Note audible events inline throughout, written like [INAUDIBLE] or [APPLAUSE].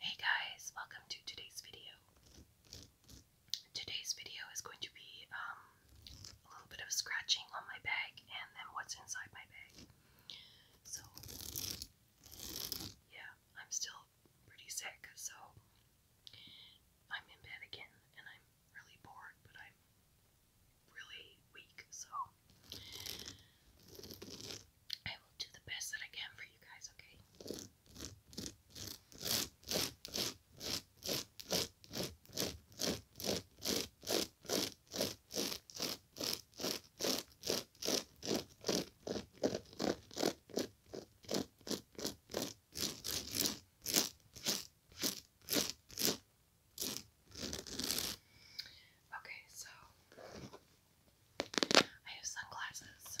Hey guys, welcome to today's video. Today's video is going to be um, a little bit of scratching on my bag and then what's inside my bag. So, yeah, I'm still pretty sick, so I'm in bed again and I'm really bored, but I'm really weak, so I will do the best that I can for you guys, okay? Okay, so I have sunglasses.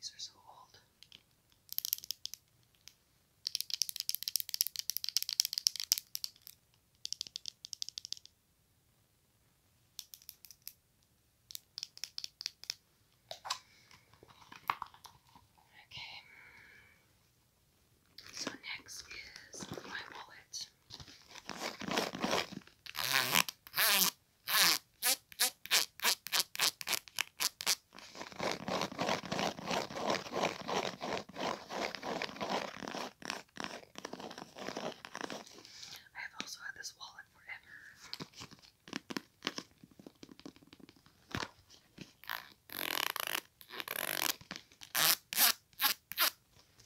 These are so old. Okay. So next is my wallet. I've also had this wallet forever.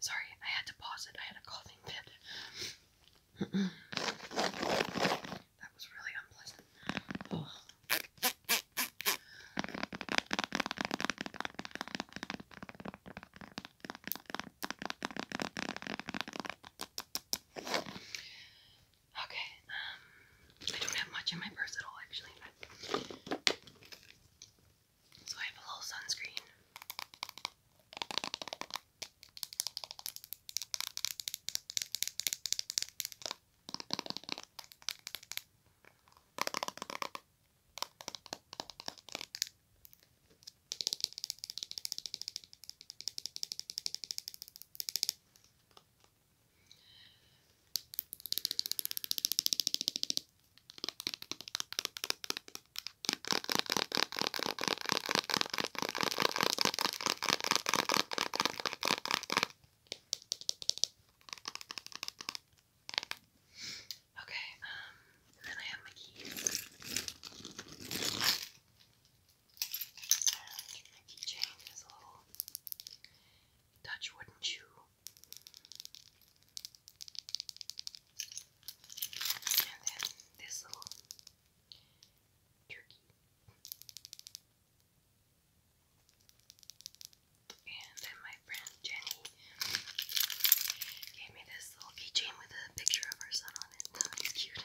Sorry, I had to pause it. I had a coughing fit. that was really unpleasant. Okay, um, I don't have much in my purse at all, actually. So I have a little sunscreen. Okay, um, then I have my keys. And my keychain is a little Dutch wooden shoe and then this little turkey. And then my friend Jenny gave me this little keychain with a picture of her son on it. It's oh, cute.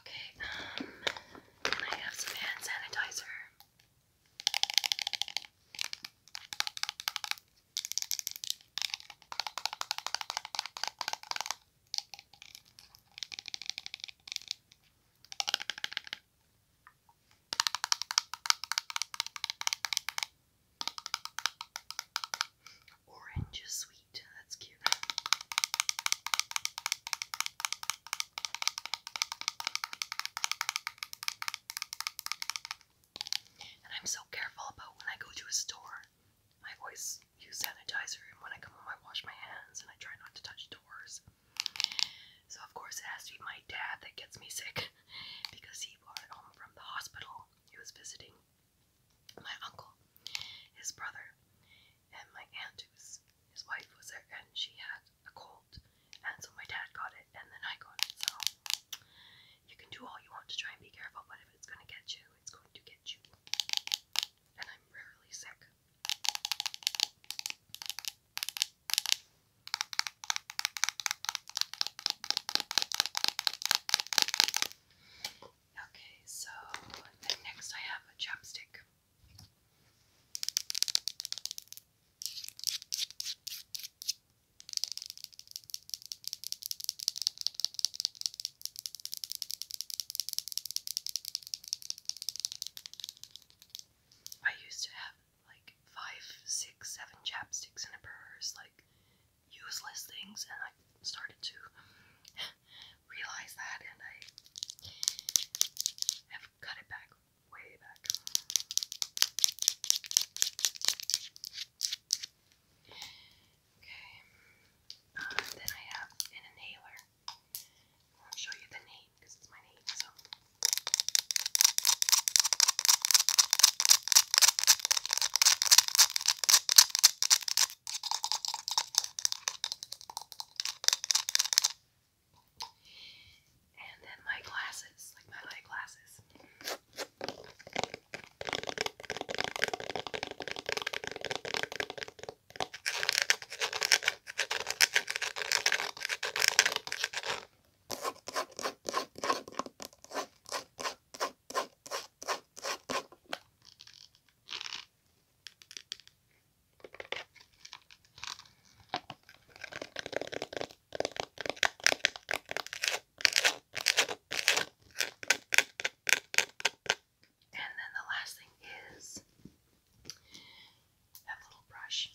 Okay, um, I have some hand sanitizer? Orange is sweet. That's cute. And I'm so careful about when I go to a store. I always use sanitizer, and when I come home, I wash my hands and I try not to touch doors. So, of course, it has to be my dad that gets me sick [LAUGHS] because he brought it home from the hospital. He was visiting my uncle, his brother, and my aunt, who's his wife, was there, and she had a cold, and so my dad got it, and then I got it. So you can do all you want to try and be careful, but if it's going to get you, it's going to get you. And I'm rarely sick. Okay, so next I have a chapstick. I used to have like five, six, seven chapsticks in a purse, like useless things, and I started to [LAUGHS] realize that, and I have cut it back way back. Okay, uh, then I have an inhaler. I'll show you the name because it's my name. So. And then my glasses, like my light glasses. And then the last thing is that little brush.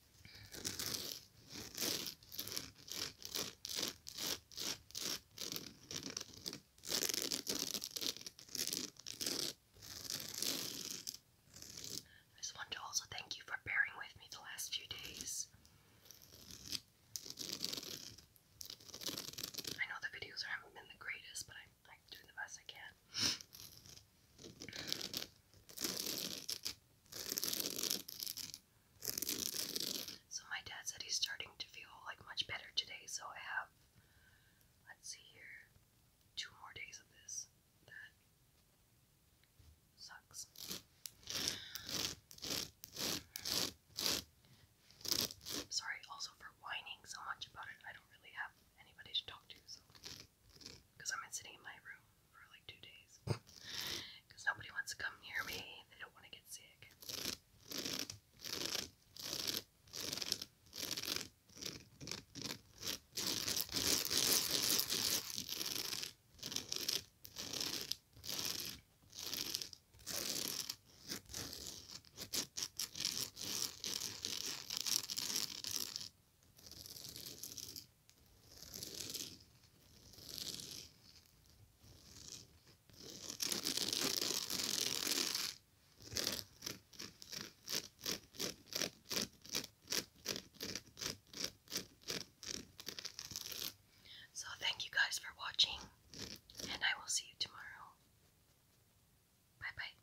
I just want to also thank you for bearing with me the last few days. I know the videos haven't been the greatest, but I'm doing the best I can. So my dad said he's starting to feel like much better today. So I have, let's see here, two more days of this. That sucks. Sorry also for whining so much about it. I don't really have anybody to talk to, so because I've been sitting in my room for like two days because [LAUGHS] nobody wants to come near me, they don't want to get sick. So, thank you guys for watching, and I will see you tomorrow. Bye bye.